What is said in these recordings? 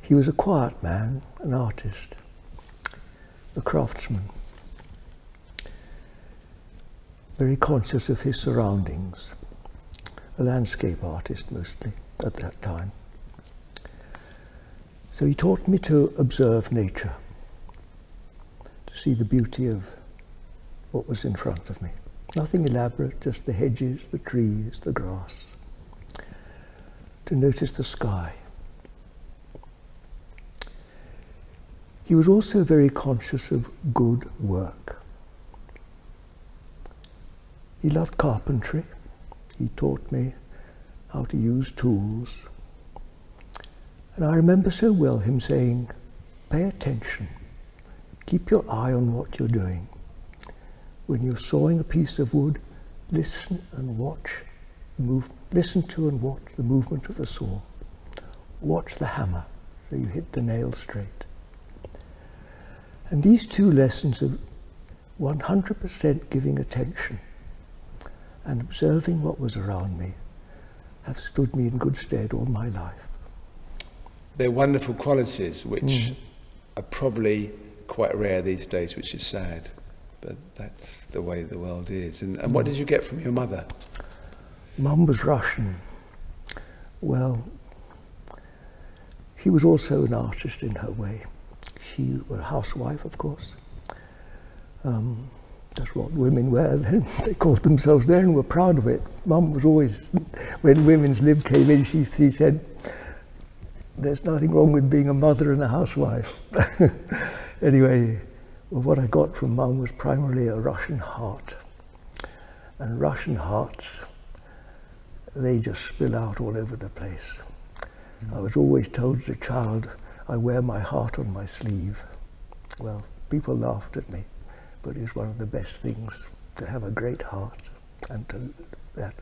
He was a quiet man, an artist, a craftsman, very conscious of his surroundings, a landscape artist mostly at that time. So he taught me to observe nature, to see the beauty of what was in front of me. Nothing elaborate, just the hedges, the trees, the grass to notice the sky. He was also very conscious of good work. He loved carpentry. He taught me how to use tools. And I remember so well him saying, pay attention, keep your eye on what you're doing when you're sawing a piece of wood, listen and watch listen to and watch the movement of the saw. Watch the hammer so you hit the nail straight. And these two lessons of 100% giving attention and observing what was around me have stood me in good stead all my life. They're wonderful qualities which mm are probably quite rare these days, which is sad. But that's the way the world is. And, what hmm. did you get from your mother? Mum was Russian. Well, she was also an artist in her way. She was a housewife, of course. Um, that's what women were they called themselves that and were proud of it. Mum was always, when women's lib came in, she said, there's nothing wrong with being a mother and a housewife. anyway, what I got from mum was primarily a Russian heart. And Russian hearts, they just spill out all over the place. I was always told as a child, I wear my heart on my sleeve. Well, people laughed at me, but it's one of the best things to have a great heart and to that.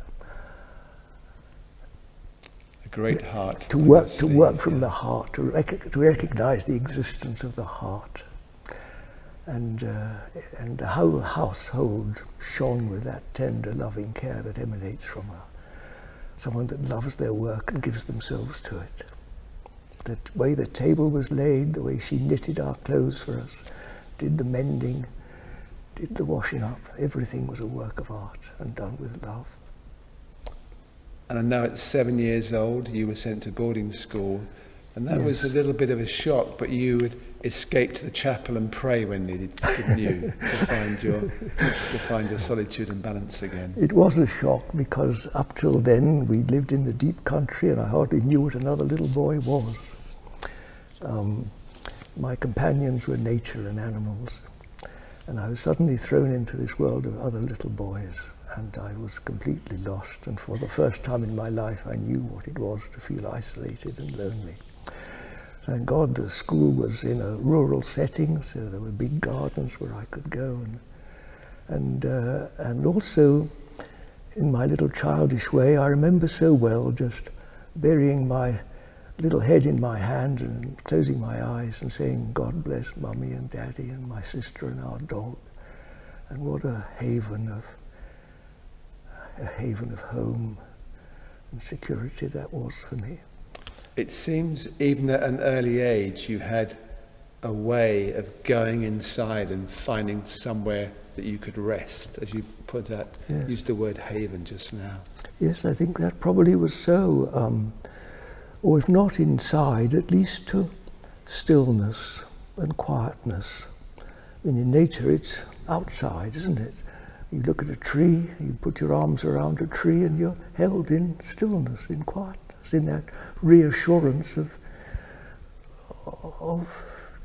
A great heart. To work, to work from the heart, to, to recognize the existence of the heart. And, uh, and the whole household shone with that tender, loving care that emanates from her. Someone that loves their work and gives themselves to it. The way the table was laid, the way she knitted our clothes for us, did the mending, did the washing up. Everything was a work of art and done with love. And I know at seven years old, you were sent to boarding school. And that was a little bit of a shock, but you would escape to the chapel and pray when needed, you, to find your to find your solitude and balance again? It was a shock because up till then we lived in the deep country, and I hardly knew what another little boy was. Um, my companions were nature and animals, and I was suddenly thrown into this world of other little boys, and I was completely lost, and for the first time in my life I knew what it was to feel isolated and lonely. Thank God the school was in a rural setting, so there were big gardens where I could go, and, and, uh, and also in my little childish way, I remember so well just burying my little head in my hand and closing my eyes and saying, God bless mummy and daddy and my sister and our dog. And what a haven of, a haven of home and security that was for me. It seems even at an early age you had a way of going inside and finding somewhere that you could rest, as you put out used the word haven just now. Yes, I think that probably was so. Um, or if not inside, at least to stillness and quietness. I mean, in nature, it's outside, isn't it? You look at a tree, you put your arms around a tree, and you're held in stillness, in quietness, in that reassurance of, of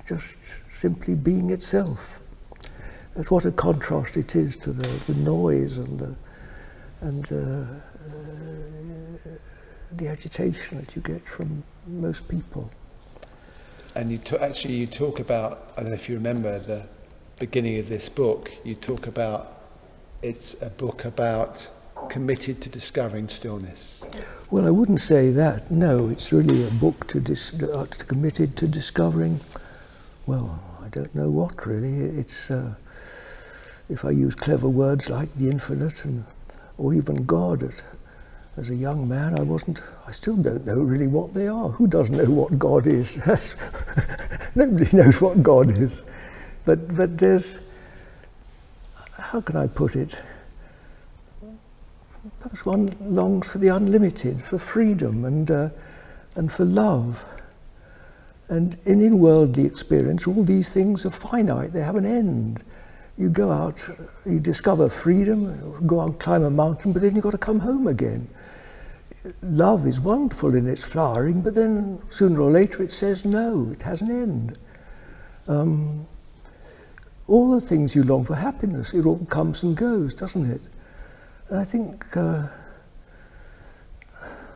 just simply being itself life. But what a contrast it is to the, noise and uh, the, agitation that you get from most people. And you actually you talk about I don't know if you remember the beginning of this book. You talk about it's a book about committed to discovering stillness. Well, I wouldn't say that. No, it's really a book to uh, committed to discovering well, I don't know what really. It's uh, if I use clever words like the infinite and or even God. as a young man, I wasn't. I still don't know really what they are. Who does not know what God is? nobody knows what God is. But but there's. How can I put it? perhaps one longs for the unlimited, for freedom and, uh, and for love. And in, worldly experience, all these things are finite, they have an end. You go out, you discover freedom, go and climb a mountain, but then you've got to come home again. Love is wonderful in its flowering, but then sooner or later it says no, it has an end. Um, all the things you long for, happiness, it all comes and goes, doesn't it? And I think uh,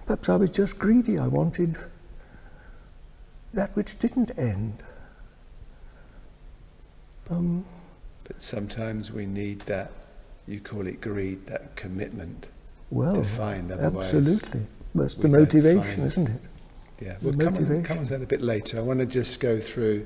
perhaps I was just greedy. I wanted that which didn't end. Um, but sometimes we need that, you call it greed, that commitment well, to find. Otherwise absolutely. That's the motivation, isn't it? Yeah. Well, the come, On, come on that a bit later. I want to just go through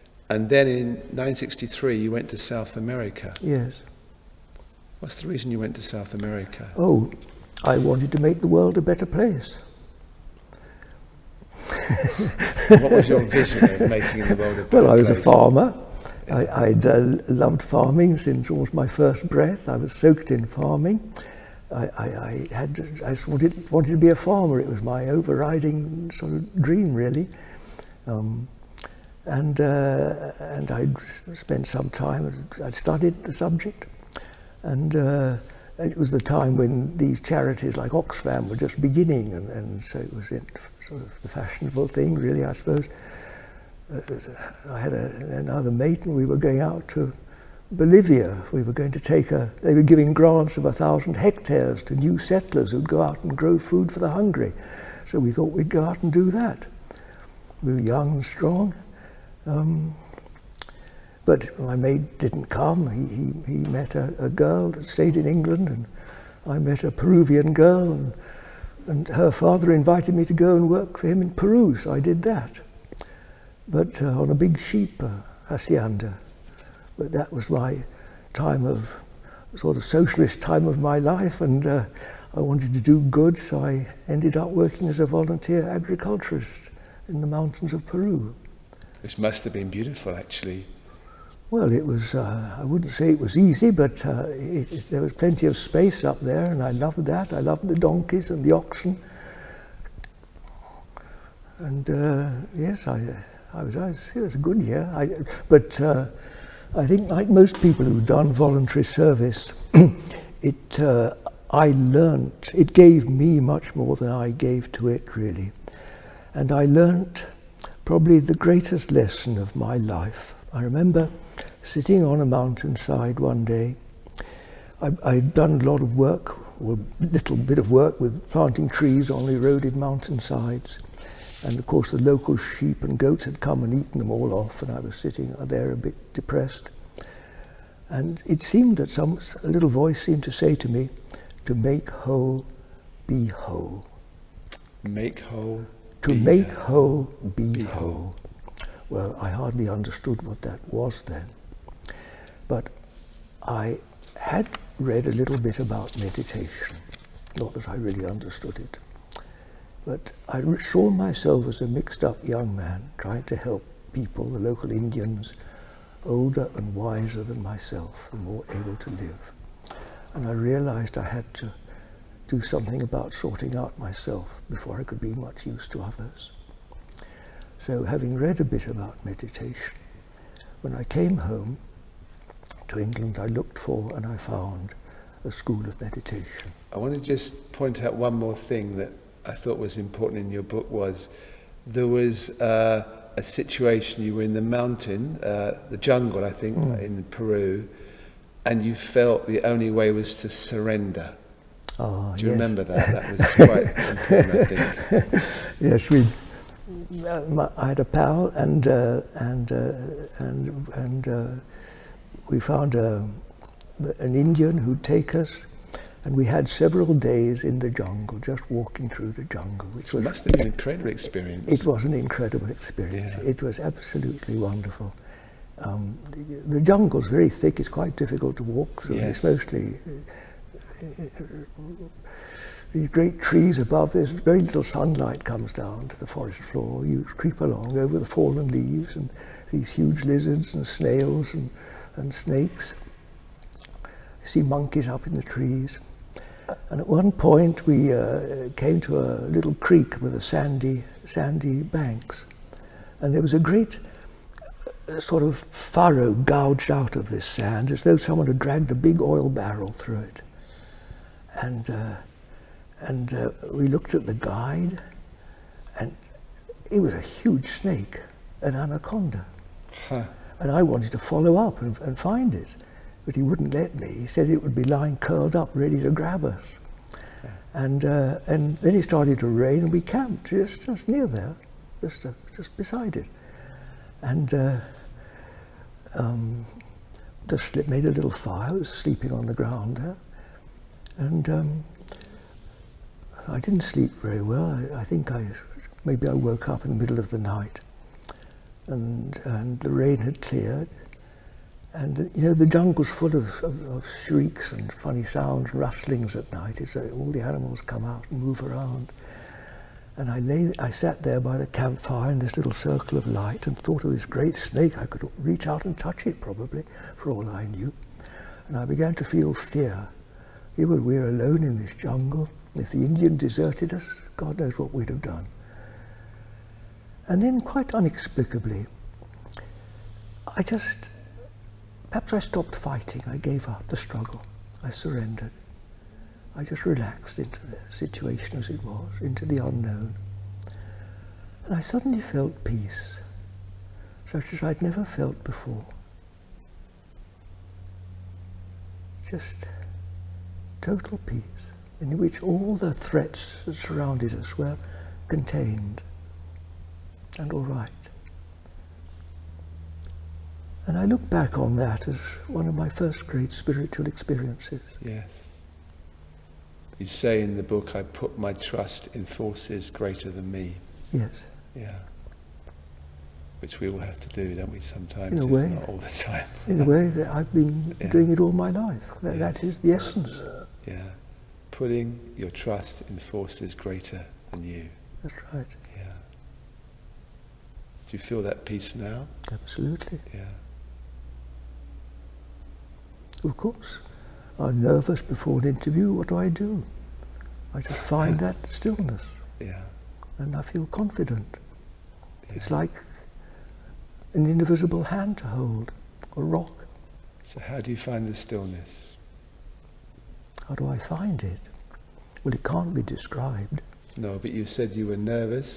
And then in 1963, you went to South America. Yes. What's the reason you went to South America? Oh, I wanted to make the world a better place. what was your vision of making the world a better place? Well, I was a farmer. I, uh, loved farming since almost my first breath. I was soaked in farming. I, had, I just wanted, wanted to be a farmer. It was my overriding sort of dream, really. Um, and uh, and I spent some time. I studied the subject, and uh, it was the time when these charities like Oxfam were just beginning, and, so it was sort of the fashionable thing, really, I suppose. Uh, I had another mate, and we were going out to Bolivia. We were going to take a. They were giving grants of a thousand hectares to new settlers who'd go out and grow food for the hungry. So we thought we'd go out and do that. We were young and strong. Um, but my mate didn't come. He, he, he met a, girl that stayed in England, and I met a Peruvian girl, and, her father invited me to go and work for him in Peru, so I did that. But uh, on a big sheep uh, hacienda. But that was my time of sort of socialist time of my life and uh, I wanted to do good so I ended up working as a volunteer agriculturist in the mountains of Peru. This must have been beautiful actually. Well it was, uh, I wouldn't say it was easy but uh, there was plenty of space up there and I loved that. I loved the donkeys and the oxen and yes I, I was, I was, was a good year I, but I think, like most people who've done voluntary service, it uh, I learnt, it gave me much more than I gave to it, really. And I learnt probably the greatest lesson of my life. I remember sitting on a mountainside one day. I, had done a lot of work, a little bit of work with planting trees on eroded mountainsides. And of course, the local sheep and goats had come and eaten them all off, and I was sitting there a bit depressed. And it seemed that some a little voice seemed to say to me, "To make whole, be whole." Make whole. To make whole, be, whole. Well, I hardly understood what that was then, but I had read a little bit about meditation. Not that I really understood it. But I saw myself as a mixed up young man trying to help people, the local Indians, older and wiser than myself and more able to live. And I realized I had to do something about sorting out myself before I could be much use to others. So having read a bit about meditation, when I came home, to England, I looked for and I found a school of meditation. I want to just point out one more thing that I thought was important in your book was there was uh, a situation you were in the mountain, uh, the jungle, I think, mm. in Peru, and you felt the only way was to surrender. Ah, Do you remember that? That was quite important, I think. yes, we. Uh, I had a pal, and uh, and and and uh, we found uh, an Indian who'd take us, and we had several days in the jungle, just walking through the jungle. Which was must an incredible experience. It was an incredible experience. It was absolutely wonderful. Um, the, jungle's very thick; it's quite difficult to walk through. It's mostly these great trees above. There's very little sunlight comes down to the forest floor, you creep along over the fallen leaves and these huge lizards and snails and, and snakes. You see monkeys up in the trees. And at one point we uh, came to a little creek with a sandy, sandy banks. And there was a great uh, sort of furrow gouged out of this sand as though someone had dragged a big oil barrel through it. And uh, and uh, we looked at the guide, and it was a huge snake, an anaconda. And I wanted to follow up and, find it, but he wouldn't let me. He said it would be lying curled up, ready to grab us. And, uh, and then it started to rain, and we camped just, just near there, just, uh, just beside it. And just um, made a little fire, I was sleeping on the ground And um, I didn't sleep very well. I, think I, maybe I woke up in the middle of the night and, and the rain had cleared. And, you know, the jungle's full of, shrieks and funny sounds, rustlings at night. It's, uh, all the animals come out and move around. And I lay, I sat there by the campfire in this little circle of light and thought of this great snake. I could reach out and touch it probably, for all I knew. And I began to feel fear. You we we're alone in this jungle. If the Indian deserted us, God knows what we'd have done. And then quite inexplicably, I just, perhaps I stopped fighting. I gave up the struggle. I surrendered. I just relaxed into this situation as it was, into the unknown. And I suddenly felt peace, such as I'd never felt before. Just total peace, in which all the threats that surrounded us were contained and all right. And I look back on that as one of my first great spiritual experiences. Yes. You say in the book, I put my trust in forces greater than me. Yes. Yeah. Which we all have to do, don't we, sometimes, not all the time. in a way that I've been doing it all my life. that is the essence. Yeah. Putting your trust in forces greater than you. That's right. Yeah. Do you feel that? that peace now? Absolutely. Yeah. Of course. I'm nervous before an interview. What do I do? I just find that stillness. Yeah. And I feel confident. It's like an invisible hand to hold, a rock. So, how do you find the stillness? How do I find it? Well, it can't be described. No, but you said you were nervous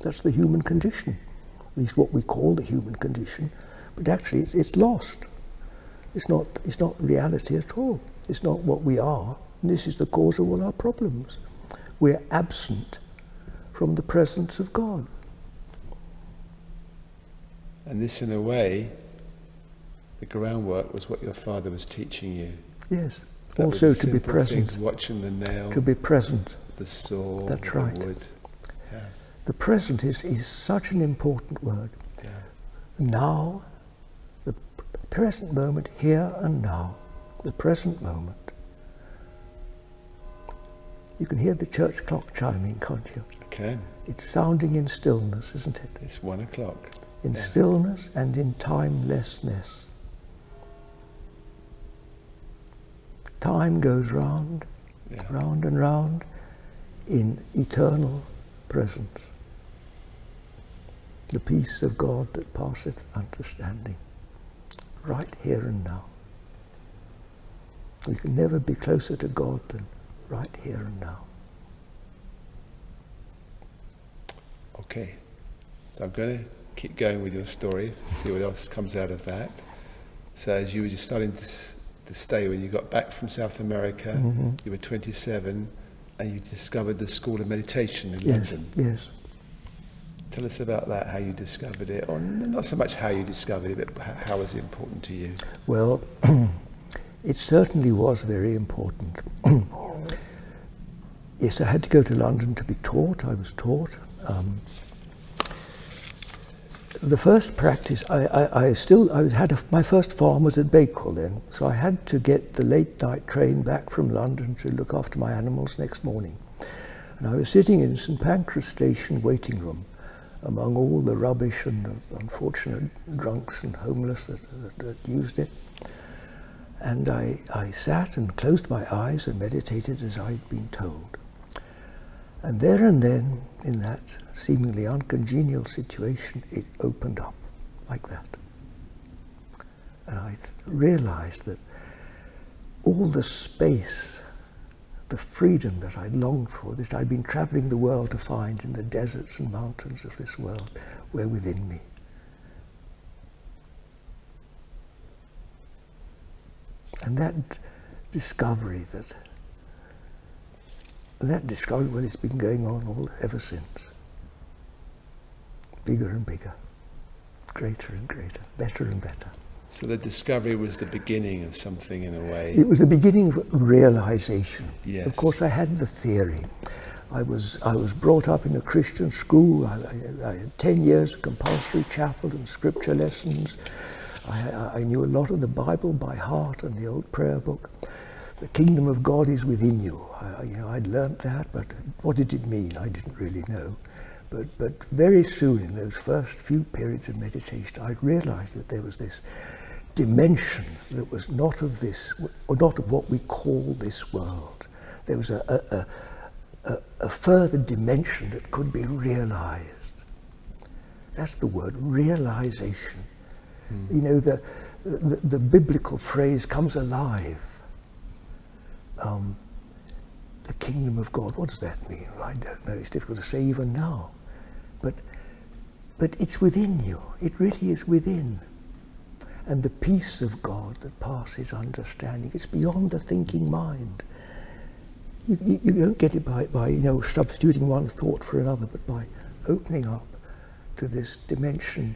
That's the human condition, at least what we call the human condition. But actually, it's, lost. It's not, it's not reality at all. It's not what we are. And this is the cause of all our problems. We're absent from the presence of God. And this, in a way, the groundwork was what your father was teaching you. Yes. That also to be present. To be present. The That's right. the present is, is such an important word. Now, the present moment, here and now, the present moment. You can hear the church clock chiming, can't you? I can. It's sounding in stillness, isn't it? It's one o'clock. In stillness and in timelessness. Time goes round, round and round in eternal presence. The peace of God that passeth understanding, right here and now. We can never be closer to God than right here and now. Okay. So I'm going to keep going with your story, see what else comes out of that. So as you were just starting to, stay, when you got back from South America, mm-hmm. you were 27, and you discovered the School of Meditation in yes, London. Yes. Tell us about that, how you discovered it, or not so much how you discovered it, but how was it important to you? Well, it certainly was very important. yes, I had to go to London to be taught. I was taught. Um, the first practice, I, still, I had my first farm was at Bakewell then, so I had to get the late night train back from London to look after my animals next morning. And I was sitting in St Pancras station waiting room among all the rubbish and the unfortunate drunks and homeless that, used it. And I sat and closed my eyes and meditated as I'd been told. And there and then, in that seemingly uncongenial situation, it opened up like that. And I realized that all the space, the freedom that I longed for, that I'd been traveling the world to find in the deserts and mountains of this world, were within me. And that discovery that that discovery, well, it's been going on ever since. Bigger and bigger, greater and greater, better and better. So the discovery was the beginning of something in a way. It was the beginning of realization. Yes. Of course, I had the theory. I was I was brought up in a Christian school. 10 years of compulsory chapel and scripture lessons. I, knew a lot of the Bible by heart and the old prayer book. The kingdom of God is within you. I, you know, I'd learnt that, but what did it mean? I didn't really know. But, but very soon, in those first few periods of meditation, I realized that there was this dimension that was not of this, or not of what we call this world. There was a a, further dimension that could be realized. That's the word, realization. Hmm. You know, the, the, biblical phrase comes alive. Um, the kingdom of God, what does that mean? Well, I don't know, it's difficult to say even now. But, but it's within you, it really is within. And the peace of God that passes understanding, it's beyond the thinking mind you, don't get it by, you know substituting one thought for another, but by opening up to this dimension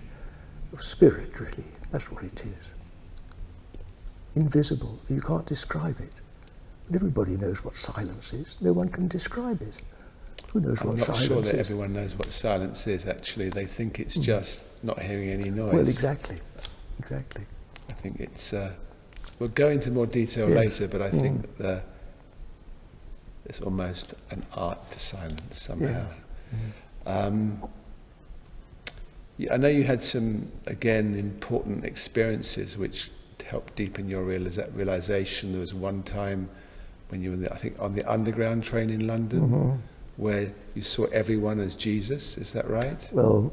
of spirit, really. That's what it is. Invisible, you can't describe it. But everybody knows what silence is. No one can describe it. Who knows I'm what silence is? I'm not sure that everyone knows what silence is, actually. They think it's hmm. just not hearing any noise. Well, exactly, exactly. I think it's, uh, we'll go into more detail later, but I think it's almost an art to silence somehow. Mm-hmm. Um, I know you had some, again, important experiences which helped deepen your realization. There was one time when you were, I think, on the underground train in London, mm-hmm. where you saw everyone as Jesus. Is that right? Well,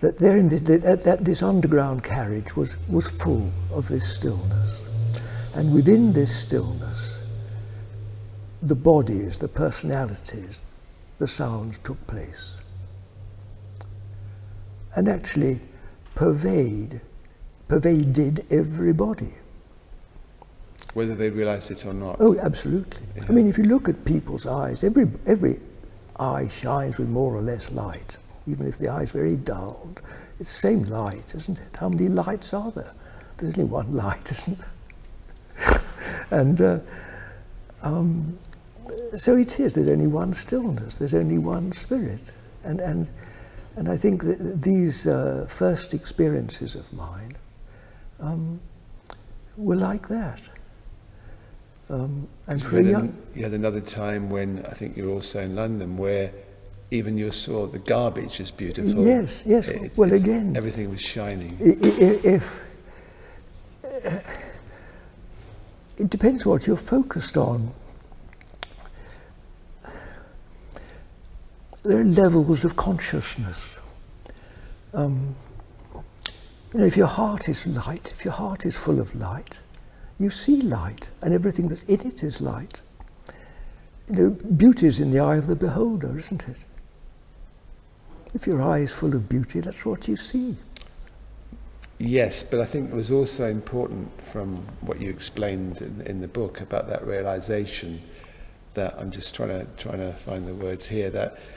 that, there this, that, this underground carriage was, was full of this stillness. And within this stillness, the bodies, the personalities, the sounds took place. And actually pervade, pervaded everybody. Whether they realized it or not. Oh, absolutely. I mean, if you look at people's eyes, every, every eye shines with more or less light, even if the eye is very dulled. It's the same light, isn't it? How many lights are there? There's only one light, isn't there? and uh, um, so it is, there's only one stillness, there's only one spirit. And, and, and I think these uh, first experiences of mine um, were like that. Um, and so you, had another time when I think you were also in London where even you saw the garbage is beautiful. Yes, yes. well, again, everything was shining. If, uh, it depends what you're focused on. There are levels of consciousness. Um, if your heart is light, if your heart is full of light, you see light, and everything that's in it is light. You know, beauty is in the eye of the beholder, isn't it? If your eye is full of beauty, that's what you see. Yes, but I think it was also important from what you explained in, in the book about that realization that I'm just trying to trying to find the words here that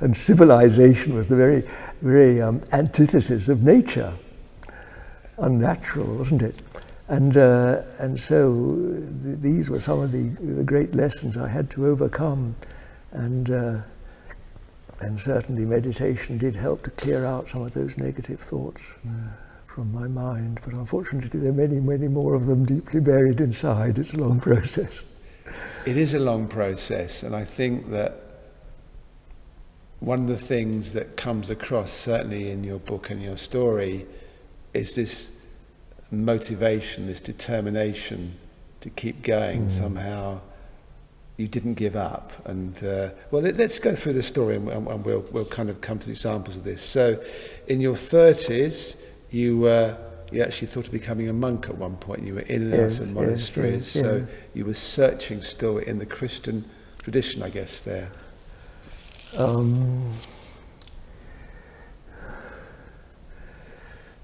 and civilization was the very, very um, antithesis of nature. Unnatural, wasn't it? And, uh, and so these were some of the, great lessons I had to overcome. And, uh, and certainly meditation did help to clear out some of those negative thoughts mm. from my mind. But unfortunately, there are many, many more of them deeply buried inside. It's a long process it is a long process, and I think that one of the things that comes across, certainly in your book and your story, is this motivation, this determination to keep going mm. somehow. You didn't give up, and uh, well, let, us go through the story, and, we'll we'll kind of come to examples of this. So, in your thirties, you were you actually thought of becoming a monk at one point. You were in and yes, monasteries, so you were searching still in the Christian tradition, I guess. There. Um,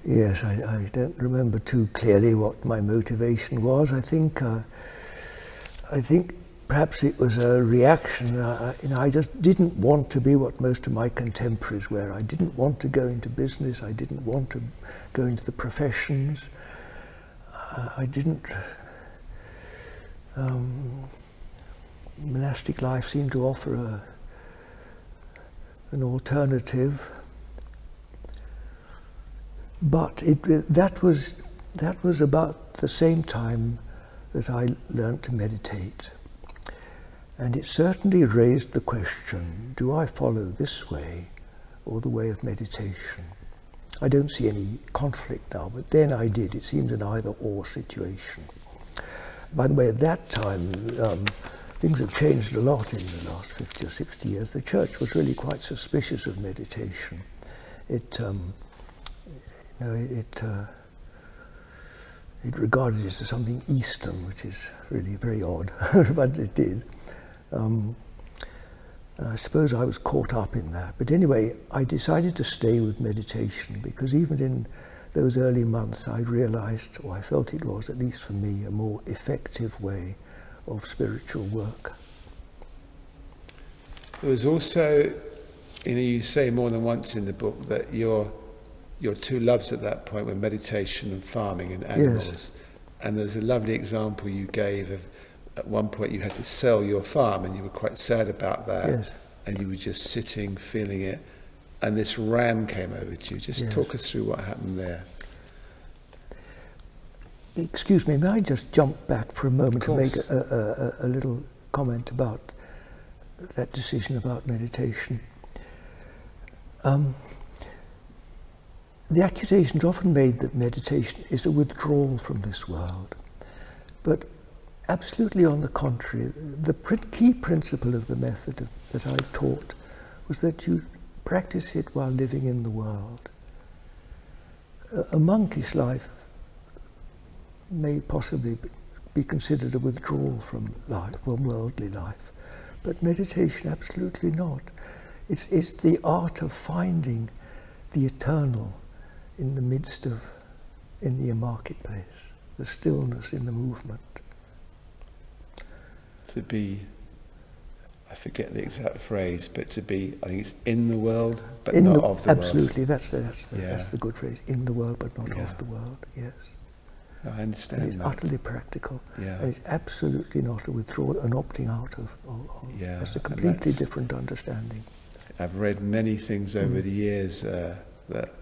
yes, I, don't remember too clearly what my motivation was. I think, uh, I think perhaps it was a reaction. you know, I just didn't want to be what most of my contemporaries were. I didn't want to go into business. I didn't want to Going to the professions. Uh, I didn't. Um, monastic life seemed to offer an alternative, but it, that was that was about the same time that I learned to meditate. And it certainly raised the question, do I follow this way or the way of meditation? I don't see any conflict now, but then I did. It seemed an either-or situation. By the way, at that time, um, things have changed a lot in the last 50 or 60 years. The church was really quite suspicious of meditation. It, um, you know, it, uh, it regarded it as something Eastern, which is really very odd, but it did. I um, uh, suppose I was caught up in that. But anyway, I decided to stay with meditation because even in those early months, I realized, or I felt it was, at least for me, a more effective way of spiritual work. There was also, you know, you say more than once in the book that your your two loves at that point were meditation and farming and animals. And there's a lovely example you gave of at one point you had to sell your farm and you were quite sad about that. And you were just sitting, feeling it. And this ram came over to you. Just talk us through what happened there. Excuse me, may I just jump back for a moment to make a, little comment about that decision about meditation? Um, the accusation is often made that meditation is a withdrawal from this world, but absolutely on the contrary, the key principle of the method that I taught was that you practice it while living in the world. A monkish life may possibly be considered a withdrawal from life, from worldly life. But meditation, absolutely not. It's, the art of finding the eternal in the midst of, in the marketplace, the stillness in the movement. To be, I forget the exact phrase, but to be, I think it's in the world, but not of the world. Absolutely, that's the, that's, the, good phrase. In the world, but not of the world, yes. I understand. And it's that. utterly practical. Yeah. And it's absolutely not a withdrawal, and opting out of. Or, yeah. It's a completely different understanding. I've read many things mm. over the years uh, that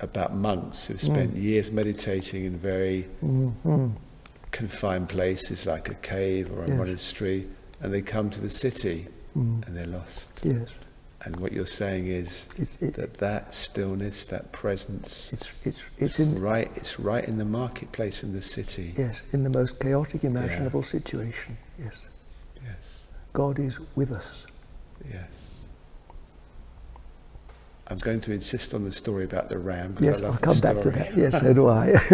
about monks who've mm. spent years meditating in very mm-hmm. confined places, like a cave or a monastery, and they come to the city mm. and they're lost. Yes. And what you're saying is that that stillness, that presence, it's, it's, it's, right, it's right in the marketplace in the city. Yes, in the most chaotic imaginable situation. Yes. Yes. God is with us. Yes. I'm going to insist on the story about the ram. Yes, I will come back to that. Yes, so do I.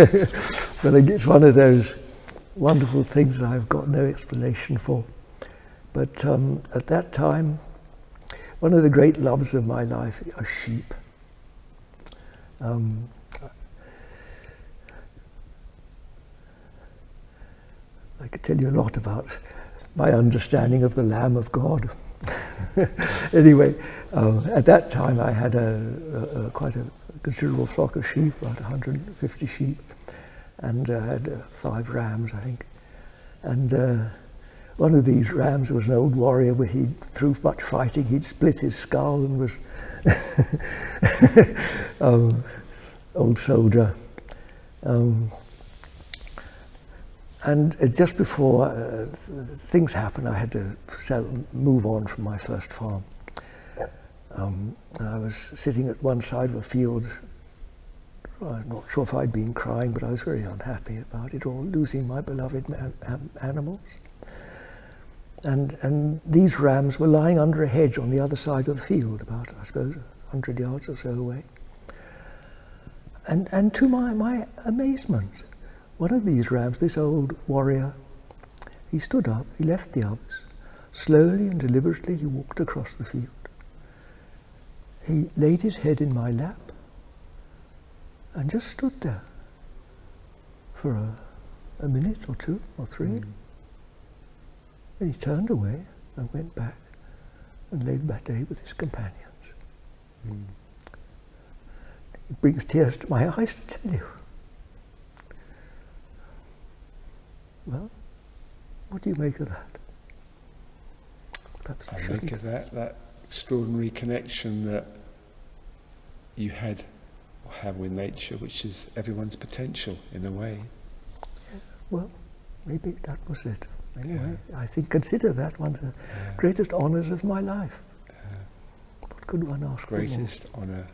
but it's one of those wonderful things I've got no explanation for. But um, at that time, one of the great loves of my life are sheep. Um, I could tell you a lot about my understanding of the Lamb of God. anyway, um, at that time I had a, quite a considerable flock of sheep, about 150 sheep, and uh, I had uh, five rams, I think. And uh, one of these rams was an old warrior where he, through much fighting, he'd split his skull and was um, old soldier. Um, and uh, just before uh, things happened, I had to move on from my first farm. Um, and I was sitting at one side of a field, not sure if I'd been crying, but I was very unhappy about it all, losing my beloved animals. And, and these rams were lying under a hedge on the other side of the field, about, I suppose, 100 yards or so away. And, and to my, my amazement, one of these rams, this old warrior, he stood up, he left the others. Slowly and deliberately, he walked across the field. He laid his head in my lap and just stood there for a, minute or two or three. Hmm. Then he turned away and went back and lived that day with his companions. It hmm. brings tears to my eyes to tell you. Well, what do you make of that? I think of that, that extraordinary connection that you had or have with nature, which is everyone's potential in a way. Well, maybe that was it. Anyway, I think consider that one of the greatest honours of my life. What could one ask for? Greatest honour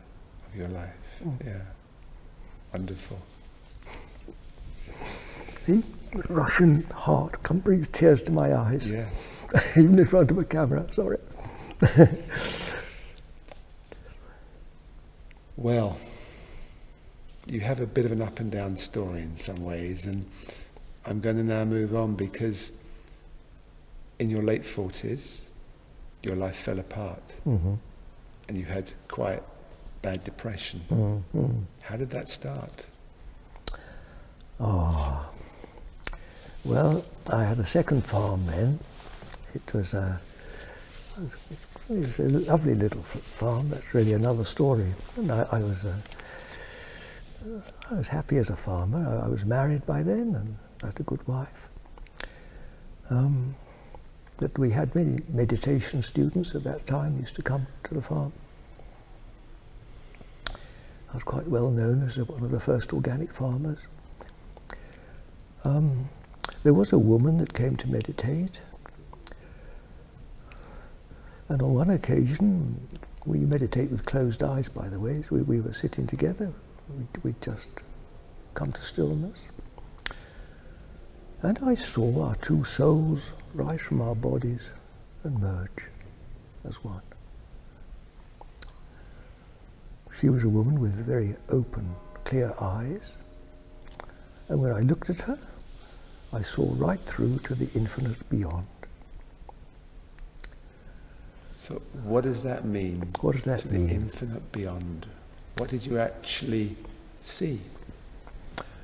of your life. Mm. Yeah. Wonderful. The Russian heart come brings tears to my eyes, yeah. even in front of a camera. Sorry. well, you have a bit of an up and down story in some ways, and I'm going to now move on because in your late 40s, your life fell apart mm-hmm. and you had quite bad depression. Mm-hmm. How did that start? Oh, well, I had a second farm then. It was a, lovely little farm. That's really another story. And I, was a, uh, I was happy as a farmer. I, was married by then and I had a good wife. Um, but we had many meditation students at that time used to come to the farm. I was quite well known as one of the first organic farmers. Um, there was a woman that came to meditate, and on one occasion, we meditate with closed eyes, by the way, we, we were sitting together, we, we just come to stillness. And I saw our two souls rise from our bodies and merge as one. She was a woman with very open, clear eyes, and when I looked at her, I saw right through to the infinite beyond. So, what does that mean? What does that mean? The infinite beyond. What did you actually see?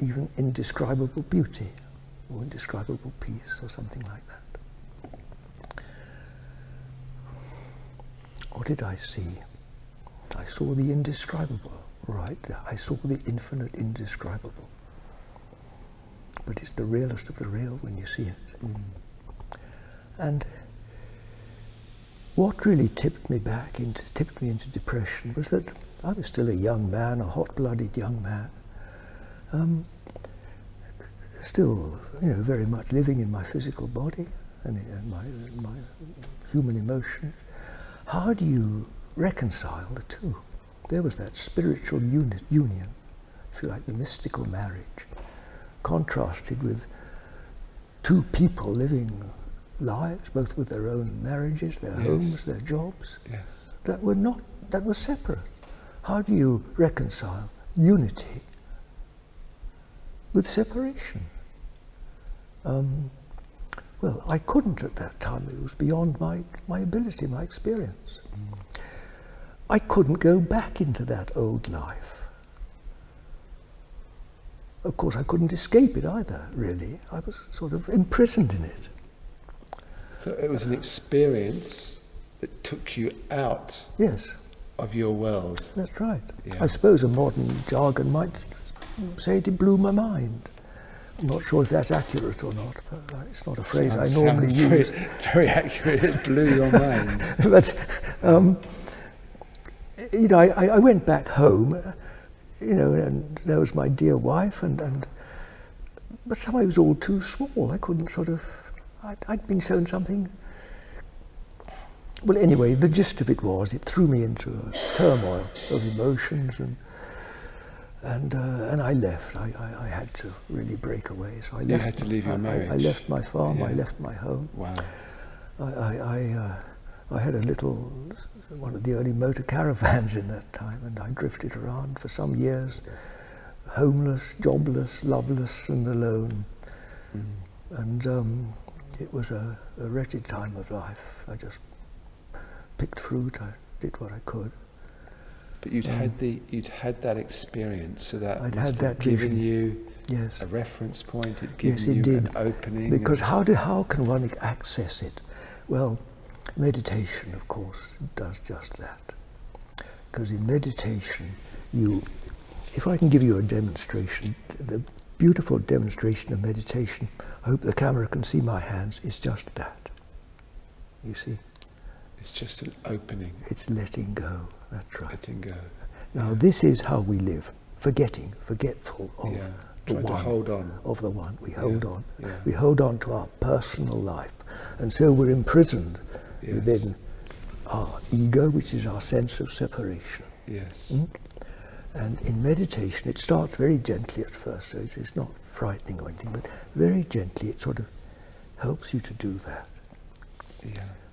even indescribable beauty or indescribable peace or something like that. What did I see? I saw the indescribable, right? I saw the infinite indescribable. But it's the realest of the real when you see it. Mm. And what really tipped me back into tipped me into depression was that I was still a young man, a hot-blooded young man, um, still, you know, very much living in my physical body and, my, human emotions. How do you reconcile the two? There was that spiritual union, if you like, the mystical marriage, contrasted with two people living lives, both with their own marriages, their homes, their jobs, that were not that were separate. How do you reconcile unity with separation? Um, well, I couldn't at that time. It was beyond my, my ability, my experience. Mm. I couldn't go back into that old life. Of course, I couldn't escape it either, really. I was sort of imprisoned in it. So it was an experience that took you out. Yes. Of your world. That's right. I suppose a modern jargon might say it blew my mind. I'm not sure if that's accurate or not. Uh, it's not a phrase I normally very, use. Very accurate. It blew your mind. but um, you know, I, went back home you know, and there was my dear wife, and, and but somehow it was all too small. I couldn't sort of, i had been shown something. Well, anyway, the gist of it was it threw me into a turmoil of emotions, and and uh, and I left. I, I, had to really break away. So I left. You had to leave your I, left my farm. I left my home. Wow. I I, I uh, had a little one of the early motor caravans in that time, and I drifted around for some years, homeless, jobless, loveless, and alone. Mm. And um, it was a, wretched time of life. I just picked fruit. I did what I could. But you'd had um, the you'd had that experience, so that I'd had that given you yes. a reference point. It given yes, you an opening. Because how do how can one access it? Well, Meditation, of course, does just that. Because in meditation, you, if I can give you a demonstration, the beautiful demonstration of meditation, I hope the camera can see my hands, is just that. You see? It's just an opening. It's letting go, that's right. Letting go. Now, this is how we live forgetting, forgetful of of the one. We hold on. We hold on to our personal life. And so we're imprisoned within our ego, which is our sense of separation. Yes. Hmm? And in meditation, it starts very gently at first, so it's, not frightening or anything, but very gently it sort of helps you to do that.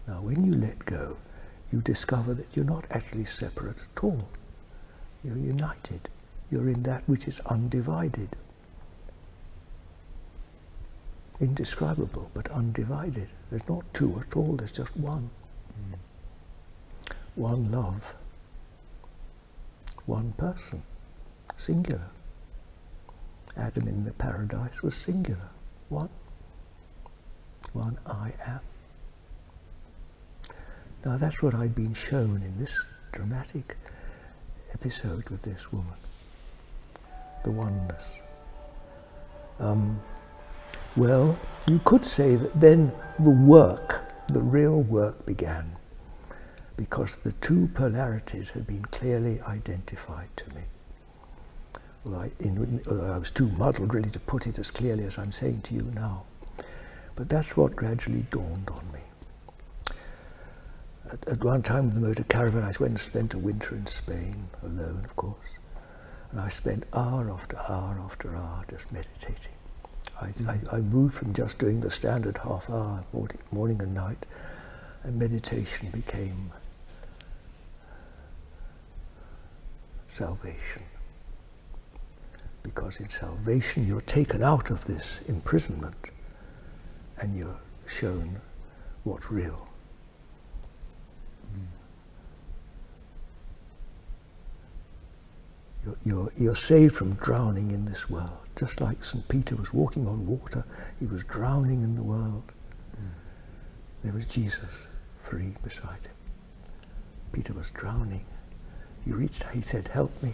Now, when you let go, you discover that you're not actually separate at all. You're united. You're in that which is undivided. Indescribable, but undivided. There's not two at all, there's just one. Hmm. One love. One person. Singular. Adam in the paradise was singular. One. One I am. Now that's what I'd been shown in this dramatic episode with this woman, the oneness. Um, well, you could say that then the work, the real work began, because the two polarities had been clearly identified to me. although I was too muddled really to put it as clearly as I'm saying to you now. But that's what gradually dawned on me. At, one time with the motor caravan, I went and spent a winter in Spain, alone, of course. And I spent hour after hour after hour just meditating. I, hmm. moved from just doing the standard half hour morning and night, and meditation became salvation. Because in salvation, you're taken out of this imprisonment and you're shown what's real. Mm. You're, you're, you're, saved from drowning in this world. Just like St. Peter was walking on water, he was drowning in the world. Mm. There was Jesus free beside him. Peter was drowning. He reached, he said, help me.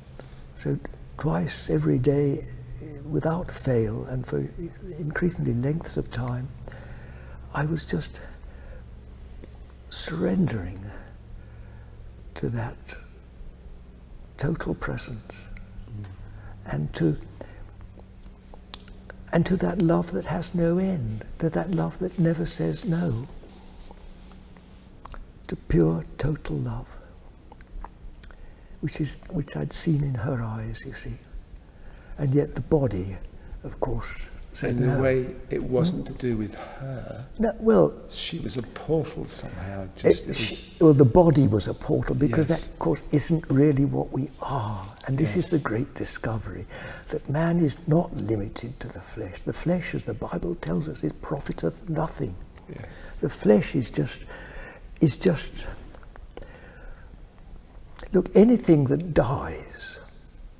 So twice every day without fail and for increasingly lengths of time, I was just surrendering to that total presence mm. and to and to that love that has no end, to that love that never says no, to pure total love which, is, which I'd seen in her eyes, you see. And yet the body, of course, said In no. way, it wasn't hmm? to do with her. No, well... She was a portal somehow. well, the body was a portal because that, of course, isn't really what we are. And this is the great discovery, that man is not limited to the flesh. The flesh, as the Bible tells us, it profiteth nothing. Yes. The flesh is just, is just, look, anything that dies,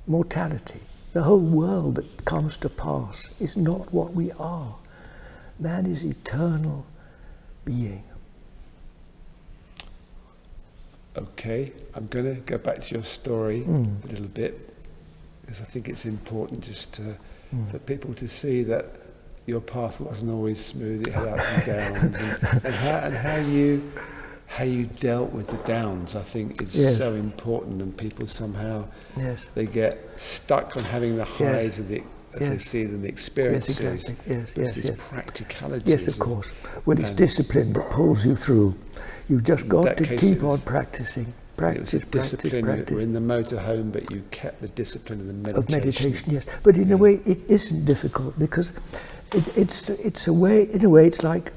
mortality, the whole world that comes to pass is not what we are. Man is eternal being. Okay, I'm going to go back to your story hmm. a little bit because I think it's important just hmm. for people to see that your path wasn't always smooth. It had ups and downs, and, how, you how you dealt with the downs. I think is so important, and people somehow yes. they get stuck on having the highs yes. the as they see them, the experiences. Yes, exactly. yes, yes, yes. practicality. Yes, of course. When it's discipline that pulls you through, you've just got to keep on practicing. Practice, it discipline practice, practice. in the motorhome, but you kept the discipline of the meditation. Of meditation, yes. But in a way, it isn't difficult because it's it's a way. In a way, it's like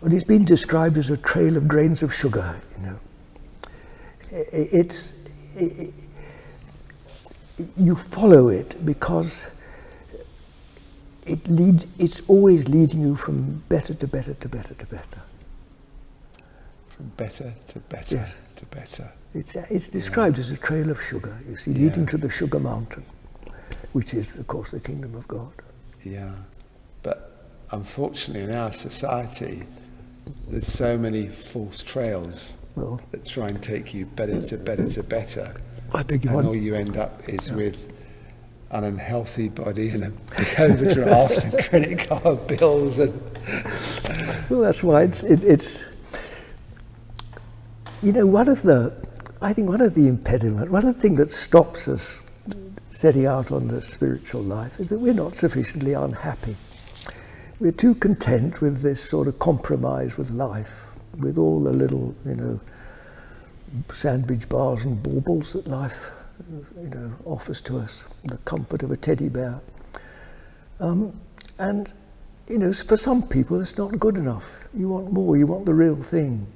well, it's been described as a trail of grains of sugar. You know, it's you follow it because it leads. It's always leading you from better to better to better to better from better to better to better. It's, it's described as a trail of sugar, you see, leading to the sugar mountain, which is, of course, the kingdom of God. Yeah. But unfortunately, in our society, there's so many false trails that try and take you better to better to better. I beg all you end up is with an unhealthy body and a how and credit card bills and well that's why it's it's you know one of the i think one of the impediment one of the things that stops us setting out on the spiritual life is that we're not sufficiently unhappy we're too content with this sort of compromise with life with all the little you know sandwich bars and baubles that life you know, offers to us, the comfort of a teddy bear. Um, and, you know, for some people it's not good enough. You want more, you want the real thing.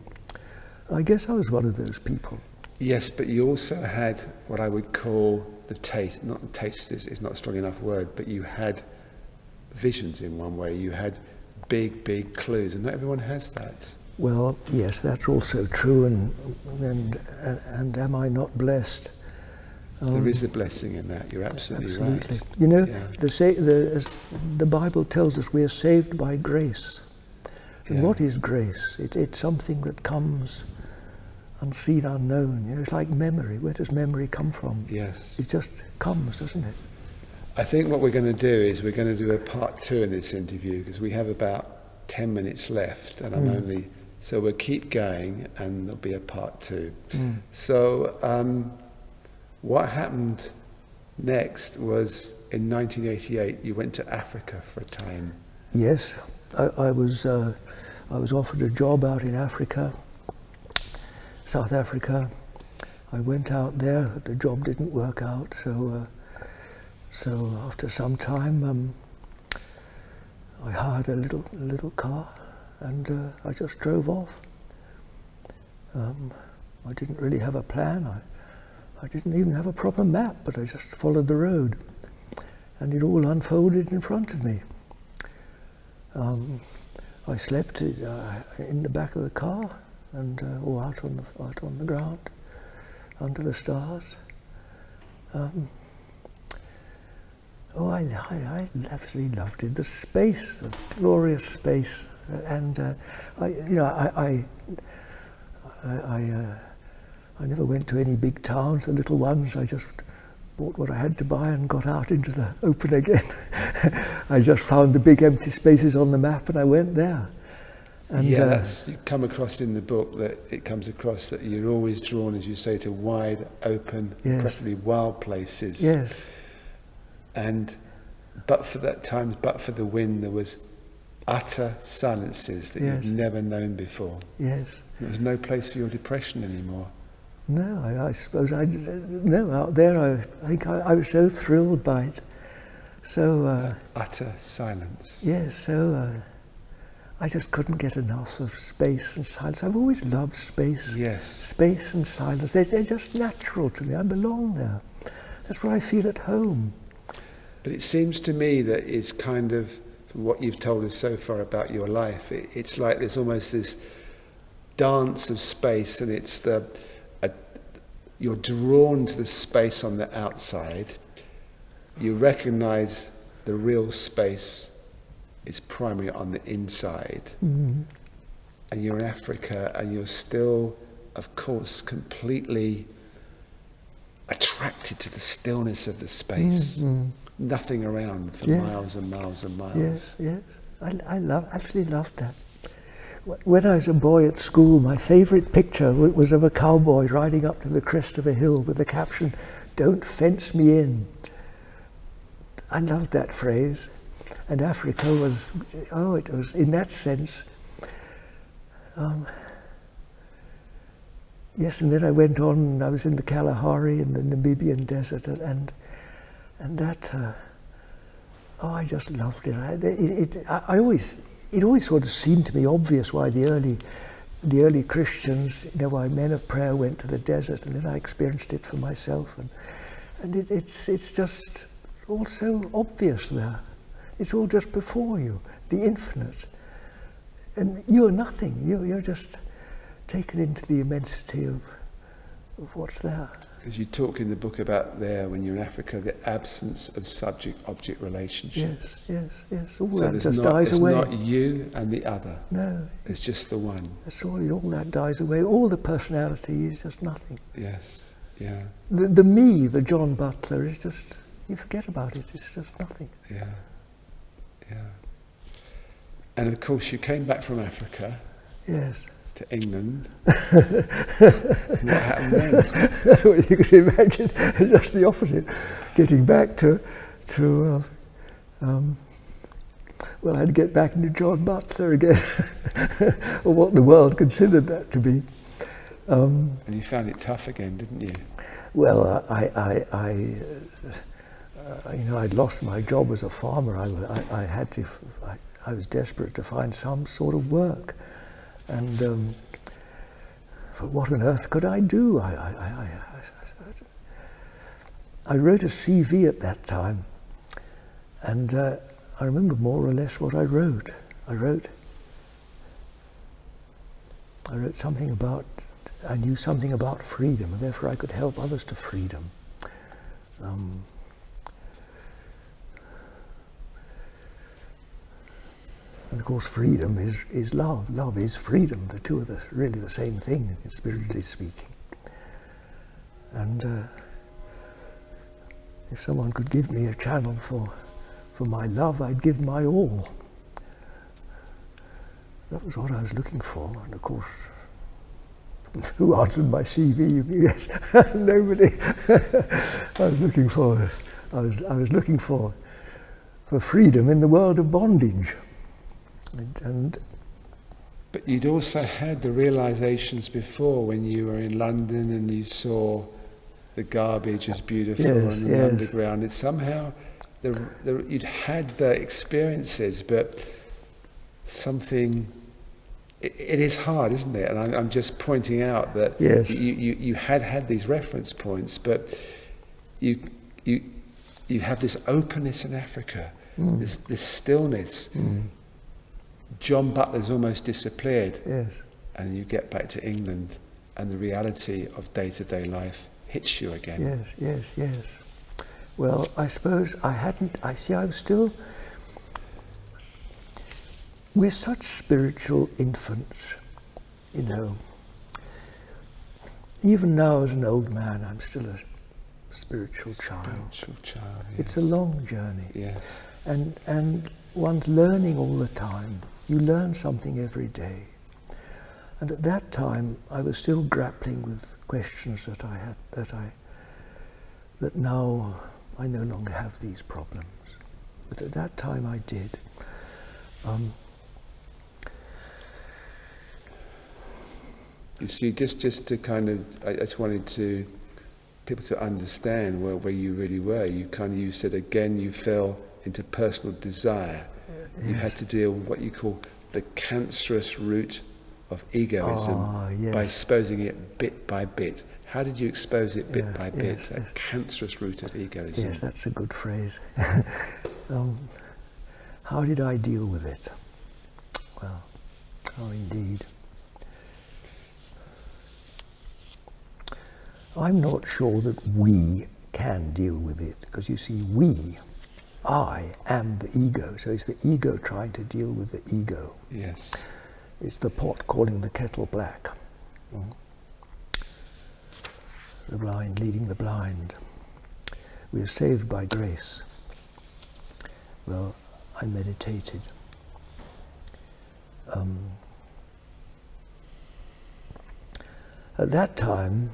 I guess I was one of those people. Yes, but you also had what I would call the taste, not taste is, not a strong enough word, but you had visions in one way. You had big, big clues, and not everyone has that. Well, yes, that's also true, and, and and am I not blessed? there um, is a blessing in that. You're absolutely, absolutely. right. You know, yeah. the, the, the, Bible tells us we are saved by grace. And what is grace? it's something that comes unseen, unknown. it's like memory. Where does memory come from? Yes. It just comes, doesn't it? I think what we're going to do is we're going to do a part two in this interview because we have about 10 minutes left and I'm hmm. only, so we'll keep going and there'll be a part two. Hmm. So um, what happened next was in 1988, you went to Africa for a time. Yes, I, was, uh, I was offered a job out in Africa, South Africa. I went out there, the job didn't work out, so, uh, so after some time, um, I hired a little a little car, and uh, I just drove off. Um, I didn't really have a plan. I, didn't even have a proper map, but I just followed the road, and it all unfolded in front of me. Um, I slept uh, in the back of the car, and all uh, out on the ground, under the stars. Um, Oh, I, absolutely loved it. The space, the glorious space, and uh, I, you know, I, I, uh, I, never went to any big towns. The little ones, I just bought what I had to buy and got out into the open again. I just found the big empty spaces on the map and I went there. And, uh, yes, you come across in the book that it comes across that you're always drawn, as you say, to wide, open, preferably wild places. Yes. And but for that time, but for the wind, there was utter silences that you've never known before. Yes. There was no place for your depression anymore. No, I, suppose I no out there. I, think I, was so thrilled by it. So uh, utter silence. Yes. so. Uh, I just couldn't get enough of space and silence. I've always loved space. Yes. Space and silence. They're, just natural to me. I belong there. That's where I feel at home. But it seems to me that is kind of what you've told us so far about your life. it's like there's almost this dance of space, and it's the you're drawn to the space on the outside, you recognize the real space is primary on the inside. Mm-hmm. And you're in Africa and you're still, of course, completely attracted to the stillness of the space. Mm-hmm. Nothing around for miles and miles and miles. Yes, yeah. I, I love, absolutely love that. When I was a boy at school, my favorite picture was of a cowboy riding up to the crest of a hill with the caption, don't fence me in. I loved that phrase. And Africa was, oh, it was in that sense. Um, yes, and then I went on, I was in the Kalahari in the Namibian desert, and, and that, uh, oh, I just loved it. I always, it always sort of seemed to me obvious why the early the early Christians, you know, why men of prayer went to the desert, and then I experienced it for myself. And, and it's, it's just all so obvious there. It's all just before you, the infinite. And you're nothing, you, you're just taken into the immensity of, of what's there. Because you talk in the book about there, when you're in Africa, the absence of subject-object relationships. Yes, yes yes, yes. All just dies it's away. It's not you and the other. No. It's just the one. That's all. that dies away. All the personality is just nothing. Yes. Yeah. The, the me, the John Butler, is just you forget about it. It's just nothing. Yeah. Yeah. And of course, you came back from Africa. Yes. To England. what happened then? you can imagine just the opposite. Getting back to to, uh, um, well, I had to get back into John Butler again, or what the world considered that to be. Um, and you found it tough again, didn't you? Well, uh, I, uh, you know, I'd lost my job as a farmer. I, had to, I, was desperate to find some sort of work, and um, but what on earth could I do? I, I, wrote a CV at that time, and uh, I remember more or less what I wrote. I wrote, I wrote something about, I knew something about freedom, and therefore I could help others to freedom. Um, and of course, freedom is, is love. Love is freedom. The two are the, really the same thing, spiritually speaking. And uh, if someone could give me a channel for, for my love, I'd give my all. That was what I was looking for. And of course, who answered my CV? nobody. I was looking for, I was, I was looking for for freedom in the world of bondage. And, but you'd also had the realizations before when you were in London and you saw the garbage as beautiful yes, the underground. It somehow you'd had the experiences, but something. it is hard, isn't it? And I'm, just pointing out that you, you had had these reference points, but you, you, you have this openness in Africa, hmm. this, stillness. Mm. John Butler's almost disappeared. And you get back to England and the reality of day to day life hits you again. Yes, yes, yes. Well, I suppose I hadn't, I see, I'm still. We're such spiritual infants you know, even now as an old man, I'm still a spiritual child. Spiritual child It's a long journey. Yes. And, and one's learning all the time. You learn something every day. And at that time, I was still grappling with questions that I had, that I, that now I no longer have these problems. But at that time I did. Um, you see, just, just to kind of, I, just wanted to people to understand where, where you really were. You kind of, you said again, you fell into personal desire. Uh, you had to deal with what you call the cancerous root of egoism ah, by exposing it bit by bit. How did you expose it bit by bit, yes, that cancerous root of egoism? Yes, that's a good phrase. Um, how did I deal with it? Well, how oh, indeed. I'm not sure that we can deal with it because you see, we, I am the ego. So it's the ego trying to deal with the ego. Yes. It's the pot calling the kettle black. Hmm? the blind leading the blind. We are saved by grace. Well, I meditated. Um, at that time,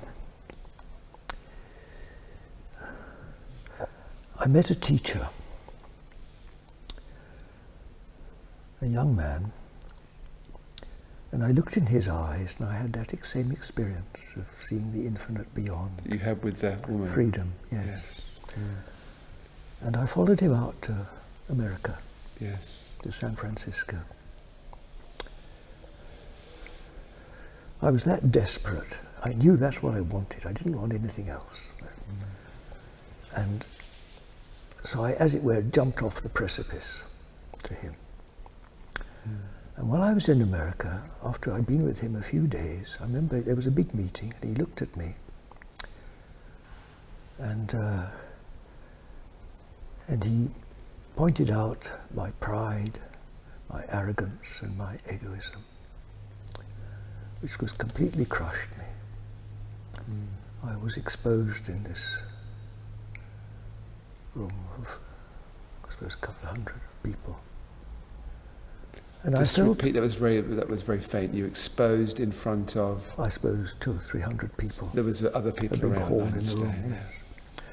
I met a teacher, a young man and I looked in his eyes and I had that same experience of seeing the infinite beyond. You had with that Freedom, yes. And I followed him out to America. Yes. To San Francisco. I was that desperate. I knew that's what I wanted. I didn't want anything else. Mm-hmm. And so I, as it were, jumped off the precipice to him. And while I was in America, after I'd been with him a few days, I remember there was a big meeting and he looked at me. And, uh, and he pointed out my pride, my arrogance and my egoism, which was completely crushed me. Hmm. I was exposed in this room of I suppose a couple of hundred people. And I still repeat that was very that was very faint. You exposed in front of I suppose two or three hundred people. There was other people a big Hall in the room, yes.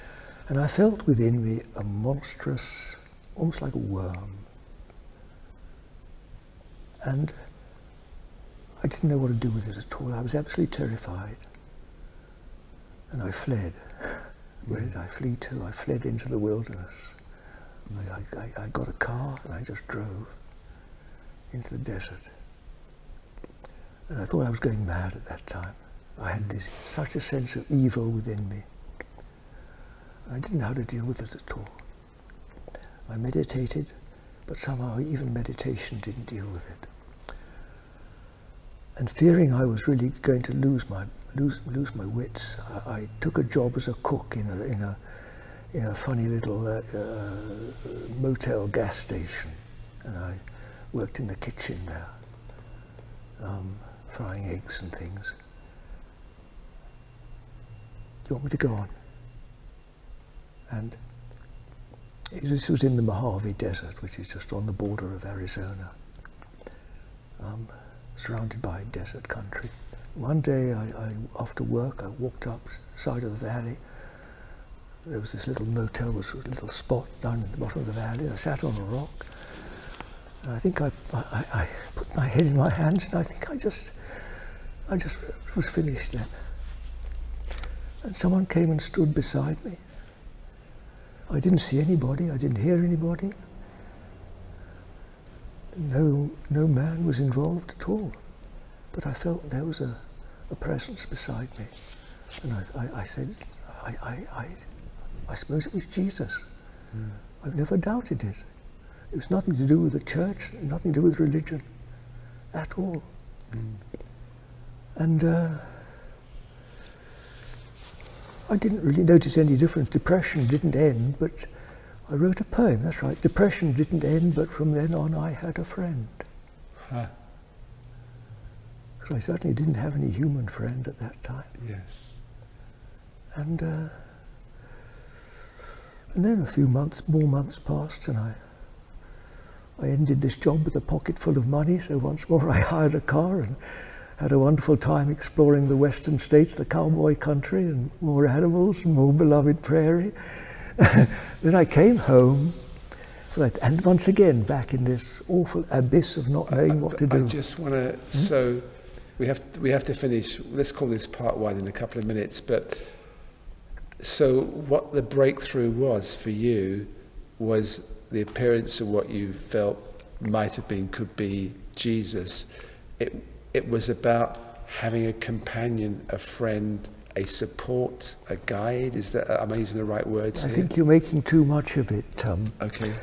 And I felt within me a monstrous, almost like a worm. And I didn't know what to do with it at all. I was absolutely terrified. And I fled. Where did I flee to? I fled into the wilderness. I, got a car and I just drove into the desert. And I thought I was going mad at that time. I had this such a sense of evil within me. I didn't know how to deal with it at all. I meditated, but somehow even meditation didn't deal with it and fearing I was really going to lose my lose lose my wits, I, took a job as a cook in a in a in a funny little uh, uh, motel gas station, and I worked in the kitchen there, um, frying eggs and things. Do you want me to go on? And this was in the Mojave Desert, which is just on the border of Arizona, um, surrounded by desert country. One day, I, after work, I walked up side of the valley. There was this little motel, was a little spot down in the bottom of the valley. I sat on a rock, and I think I, I put my head in my hands, and I think I just, I just was finished then. And someone came and stood beside me I didn't see anybody, I didn't hear anybody. No, no man was involved at all. But I felt there was a, presence beside me. And I, said, I, suppose it was Jesus. Hmm. I've never doubted it. It was nothing to do with the church, nothing to do with religion at all. Hmm. And uh, I didn't really notice any difference. Depression didn't end, but I wrote a poem, that's right. Depression didn't end, but from then on I had a friend. Huh. So I certainly didn't have any human friend at that time. Yes. And, uh, and then a few months, more months passed, and I I ended this job with a pocket full of money, so once more I hired a car and had a wonderful time exploring the western states, the cowboy country, and more animals, and more beloved prairie. then I came home, and once again back in this awful abyss of not knowing what to do. I just want to, hmm? so we have, we have to finish, let's call this part one in a couple of minutes, but so what the breakthrough was for you was the appearance of what you felt might have been, could be Jesus. It, it was about having a companion, a friend, a support, a guide. Is that i am using the right words? I think you're making too much of it, Tom. Um, okay.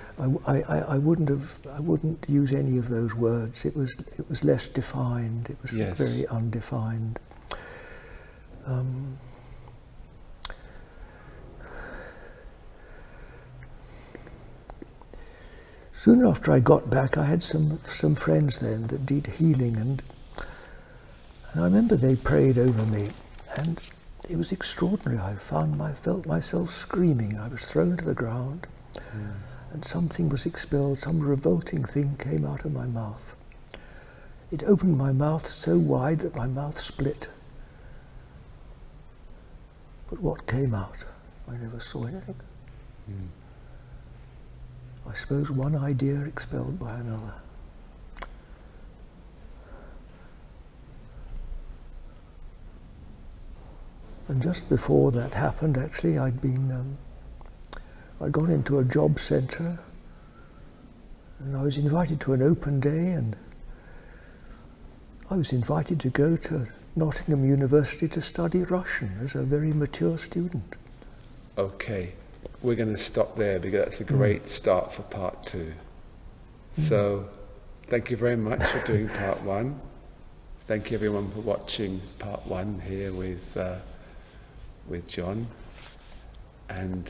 I, I, I wouldn't have. I wouldn't use any of those words. It was it was less defined. It was very undefined. Um, Soon after I got back, I had some, some friends then that did healing, and, and I remember they prayed over me, and it was extraordinary. I found my, felt myself screaming. I was thrown to the ground, hmm. and something was expelled, some revolting thing came out of my mouth. It opened my mouth so wide that my mouth split. But what came out? I never saw anything. Hmm. I suppose one idea expelled by another. And just before that happened, actually, I'd been, um, I'd gone into a job centre and I was invited to an open day and I was invited to go to Nottingham University to study Russian as a very mature student. Okay, we're going to stop there because that's a hmm. great start for part two. Hmm. So thank you very much for doing part one. Thank you everyone for watching part one here with, uh, with John. And